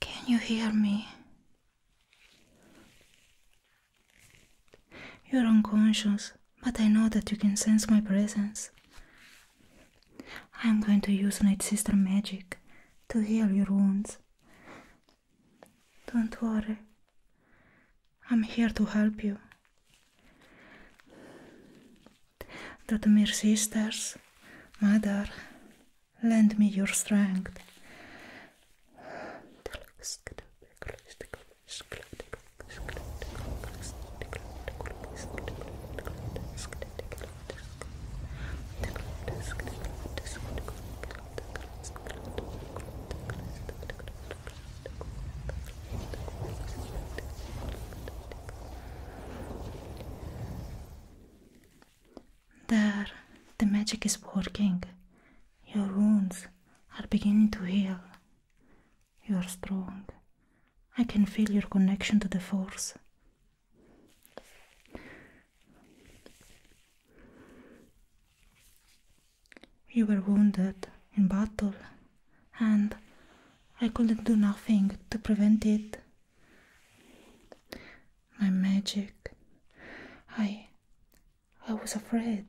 Can you hear me? You're unconscious, but I know that you can sense my presence. I'm going to use Night Sister magic to heal your wounds. Don't worry, I'm here to help you. That mere sisters, mother, lend me your strength. There, the magic is working. Your wounds are beginning to heal. You are strong. I can feel your connection to the force. We were wounded in battle, and I couldn't do nothing to prevent it. My magic. I. I was afraid.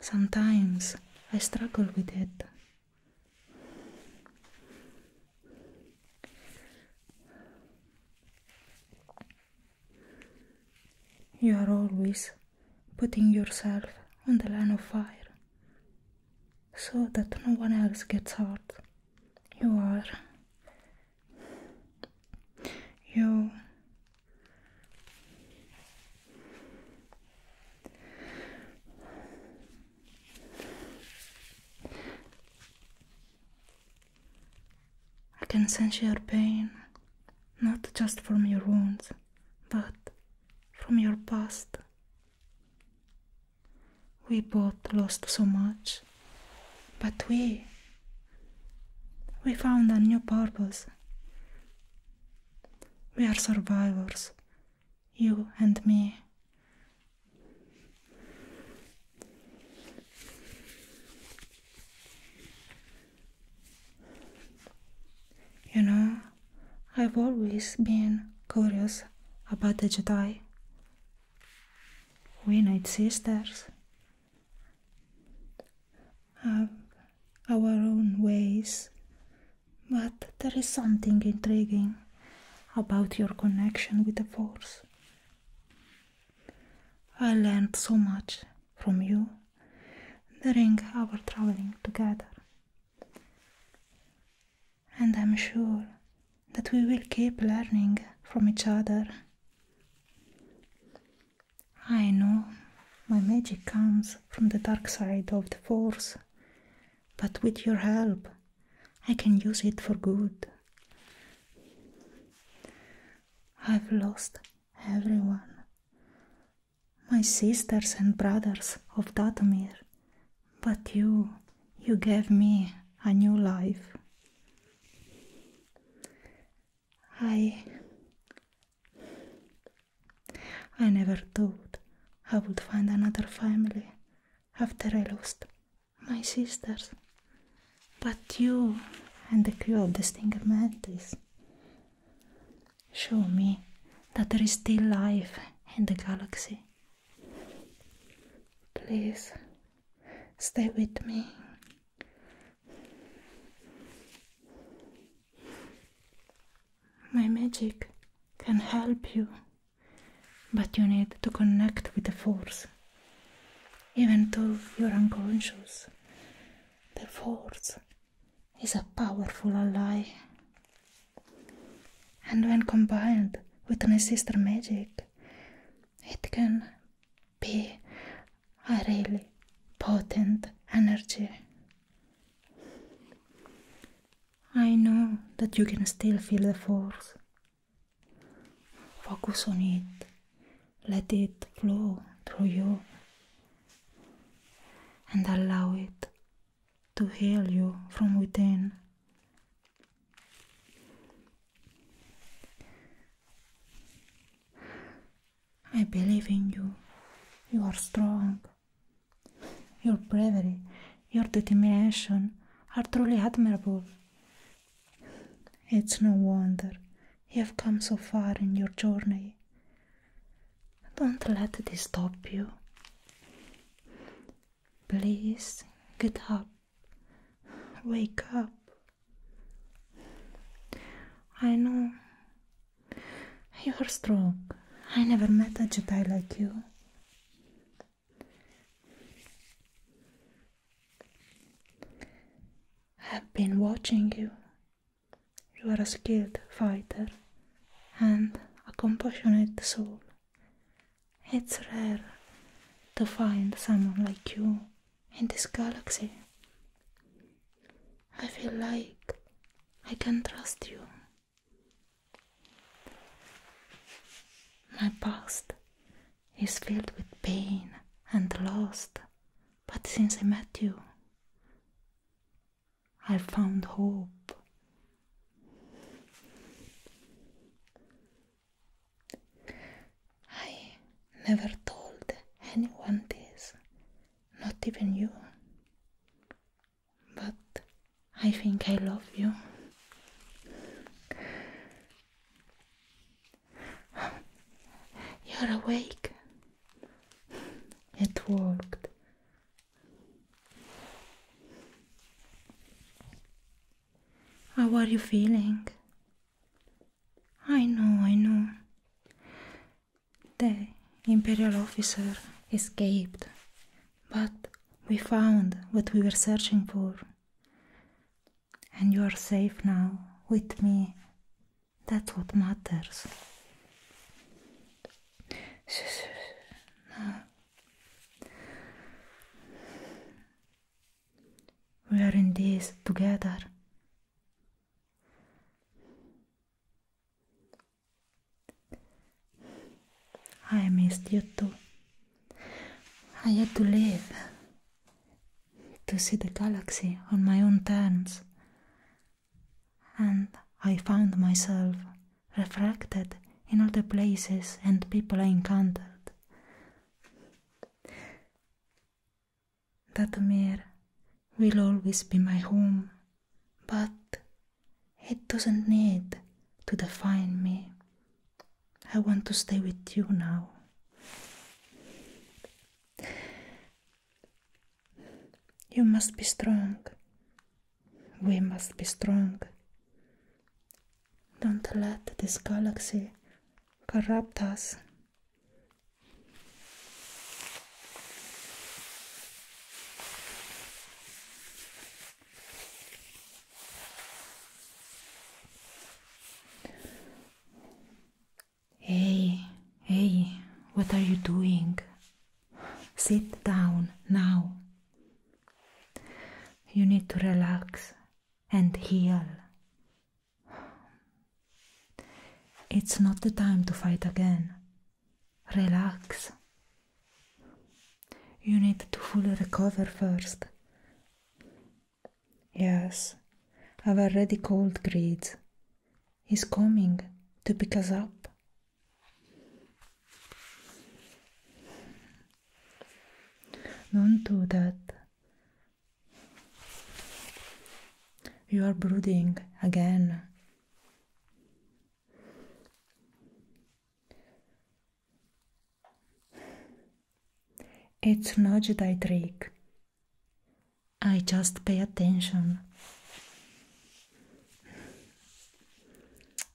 Sometimes I struggled with it. You are always putting yourself on the line of fire so that no one else gets hurt. You are. You. I can sense your pain, not just from your wounds, but from your past. We both lost so much, but we we found a new purpose. We are survivors, you and me. You know, I've always been curious about the Jedi. We Night Sisters have our own ways, but there is something intriguing about your connection with the Force. I learned so much from you during our traveling together. And I'm sure that we will keep learning from each other. I know my magic comes from the dark side of the force, but with your help, I can use it for good. I've lost everyone, my sisters and brothers of Datomir, but you, you gave me a new life. I. I never thought I would find another family after I lost my sisters. But you and the crew of the Stinger Mantis, Show me that there is still life in the galaxy. Please stay with me. My magic can help you, but you need to connect with the Force. Even though you're unconscious, the Force is a powerful ally. And when combined with my sister magic, it can be a really potent energy. I know that you can still feel the force. Focus on it. Let it flow through you and allow it to heal you from within. I believe in you. You are strong. Your bravery, your determination are truly admirable. It's no wonder you have come so far in your journey. Don't let this stop you. Please get up. Wake up. I know you're strong. I never met a Jedi like you. I've been watching you you are a skilled fighter and a compassionate soul. It's rare to find someone like you in this galaxy. I feel like I can trust you. My past is filled with pain and loss, but since I met you, I found hope. I never told anyone this, not even you. But I think I love you. You're awake. It worked. How are you feeling? I know, I know. The Imperial officer escaped, but we found what we were searching for. And you are safe now with me. That's what matters. We are in this together. I missed you too. I had to leave to see the galaxy on my own terms and I found myself reflected in all the places and people I encountered. That mirror will always be my home, but it doesn't need to define me. I want to stay with you now. You must be strong we must be strong. Don't let this galaxy corrupt us. Hey, hey, what are you doing? Sit down now. You need to relax and heal. It's not the time to fight again. Relax. You need to fully recover first. Yes, I've already called Greed. He's coming to pick us up don't do that. You are brooding again. It's not a trick. I just pay attention.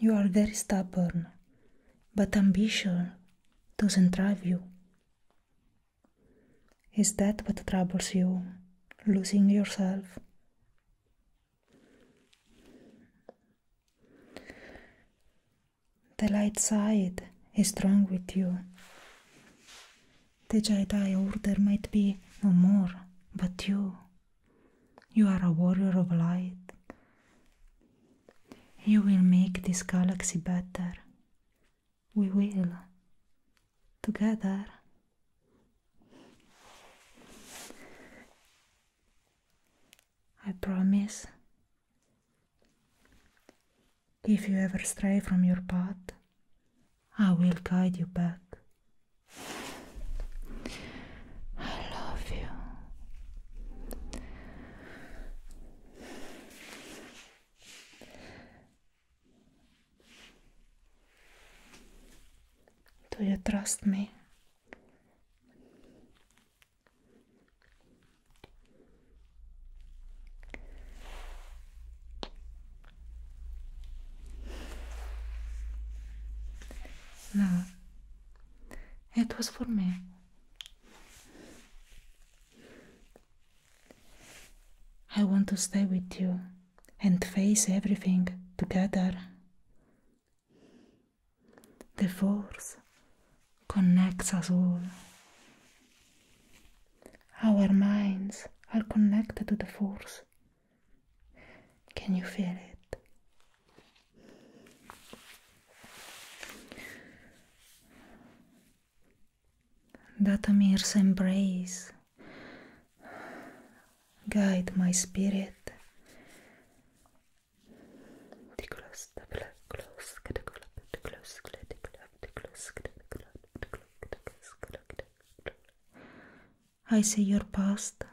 You are very stubborn, but ambition doesn't drive you. Is that what troubles you? Losing yourself? The light side is strong with you. The Jedi Order might be no more, but you you are a warrior of light. You will make this galaxy better. We will. Together. I promise. If you ever stray from your path, I will guide you back. I love you. Do you trust me? Now it was for me. I want to stay with you and face everything together. The force connects us all. Our minds are connected to the force. Can you feel it? That Datamir's embrace, guide my spirit. I see your past,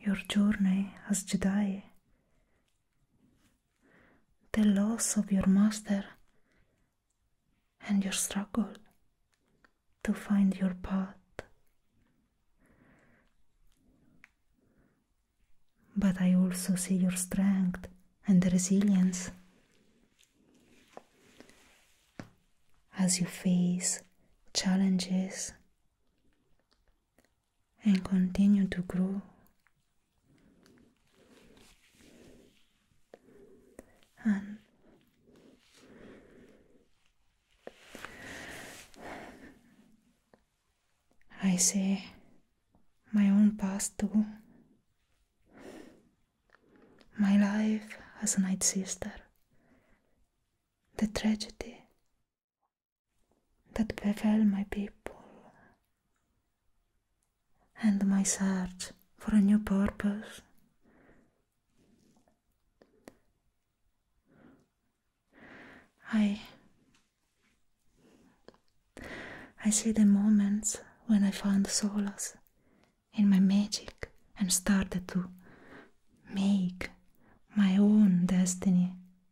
your journey as Jedi, the loss of your master and your struggle to find your path. But I also see your strength and resilience as you face challenges and continue to grow. And I see my own past too. My life as a night sister, the tragedy that befell my people and my search for a new purpose. I I see the moments when I found solace in my magic and started to make my own destiny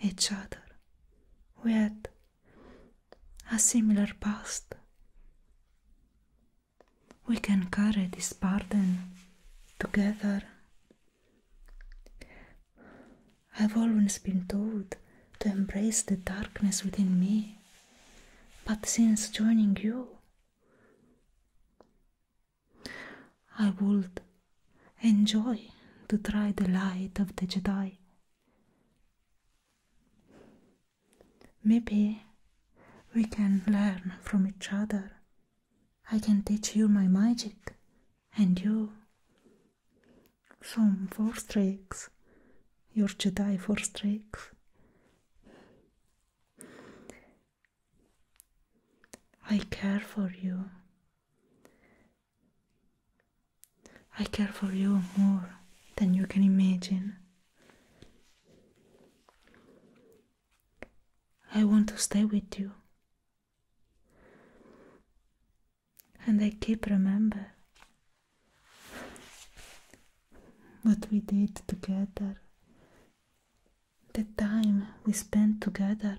each other with a similar past. We can carry this burden together. I've always been told to embrace the darkness within me, but since joining you, I would Enjoy to try the light of the Jedi. Maybe we can learn from each other. I can teach you my magic and you some force tricks, your Jedi force tricks. I care for you I care for you more than you can imagine. I want to stay with you. And I keep remember what we did together, the time we spent together.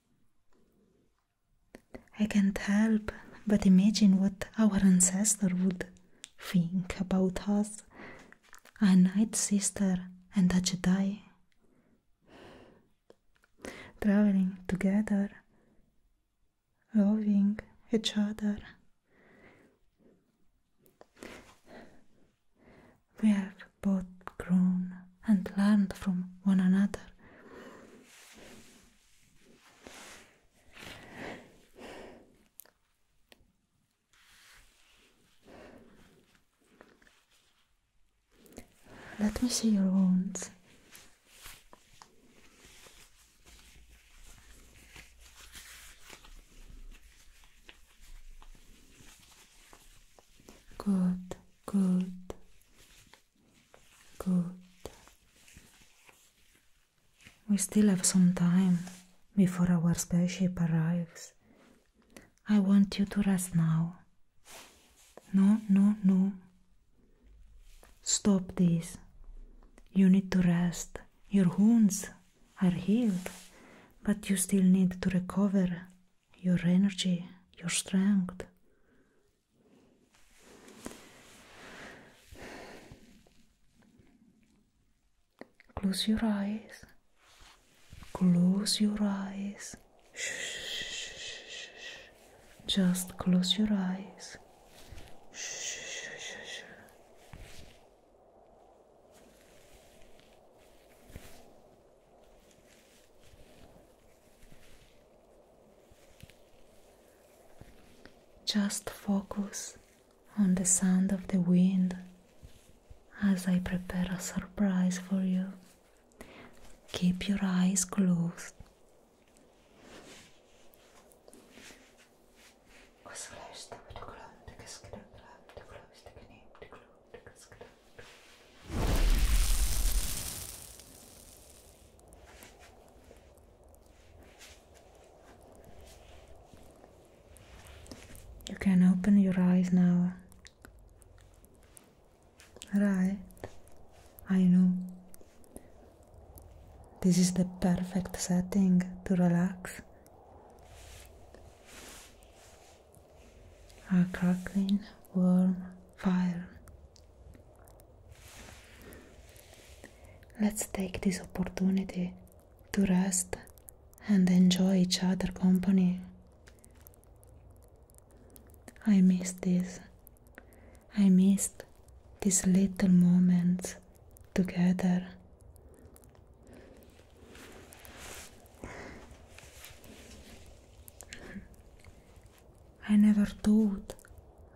I can't help but imagine what our ancestor would think about us, a night sister and a Jedi, traveling together, loving each other we have both grown and learned from one another. Let me see your wounds. Good good, good. We still have some time before our spaceship arrives. I want you to rest now. No, no, no. Stop this. You need to rest. Your wounds are healed, but you still need to recover your energy, your strength. Close your eyes. Close your eyes. Just close your eyes. Just focus on the sound of the wind as I prepare a surprise for you. Keep your eyes closed. You can open your eyes now. Right, I know. This is the perfect setting to relax a crackling warm fire. Let's take this opportunity to rest and enjoy each other's company. I missed this. I missed these little moments together. I never thought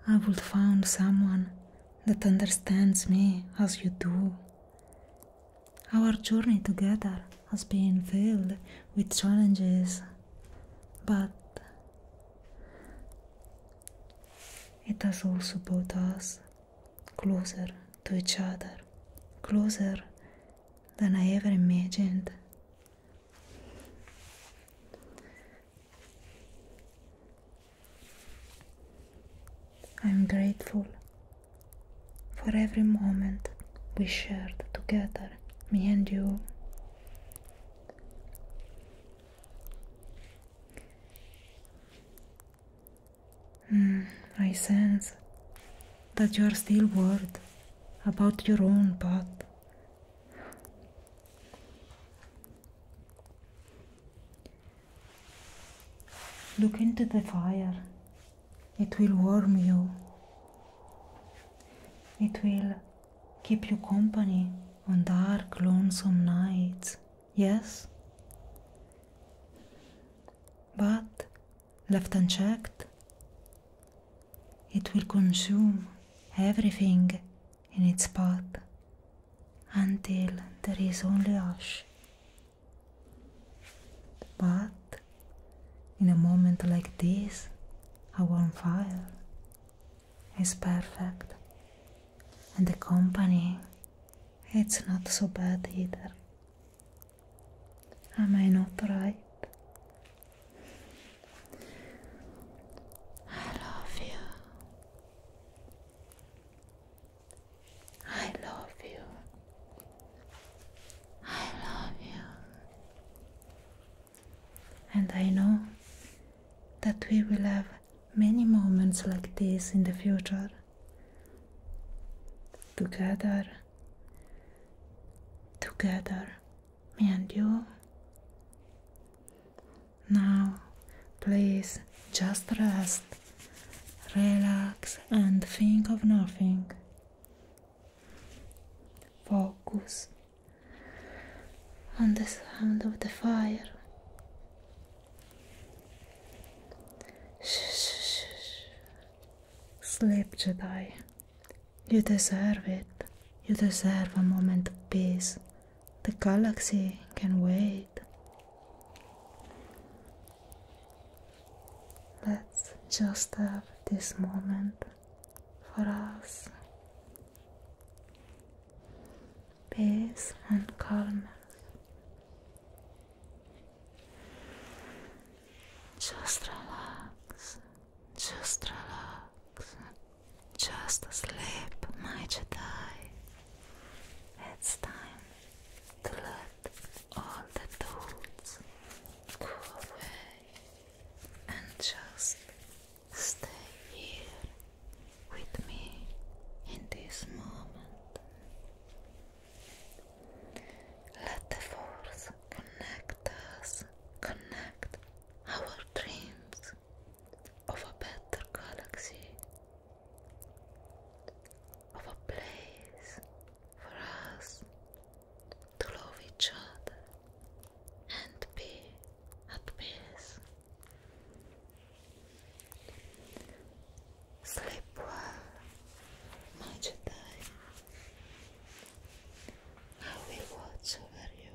I would find someone that understands me as you do. Our journey together has been filled with challenges, but it has also brought us closer to each other, closer than I ever imagined. I'm grateful for every moment we shared together, me and you. Mm, I sense that you are still worth about your own path. Look into the fire, it will warm you, it will keep you company on dark, lonesome nights, yes? But left unchecked, it will consume everything in its path until there is only ash. But in a moment like this, a warm fire is perfect, and the company it's not so bad either. Am I not right? I love you. I love you. I love you. And I know that we will have many moments like this in the future. Together. Together. Me and you. Now, please just rest, relax, and think of nothing. Focus on the sound of the fire. Shh, shh, shh. Sleep, Jedi. You deserve it. You deserve a moment of peace. The galaxy can wait. Let's just have this moment for us. Peace and calm. Just relax. Just relax relax. Just sleep, my Jedi. It's time to let all the thoughts go away and just stay here with me in this moment. Let the force connect us, connect our dreams of a better galaxy, of a place for us to love each other and be at peace. Sleep well, my Jedi. I will watch over you.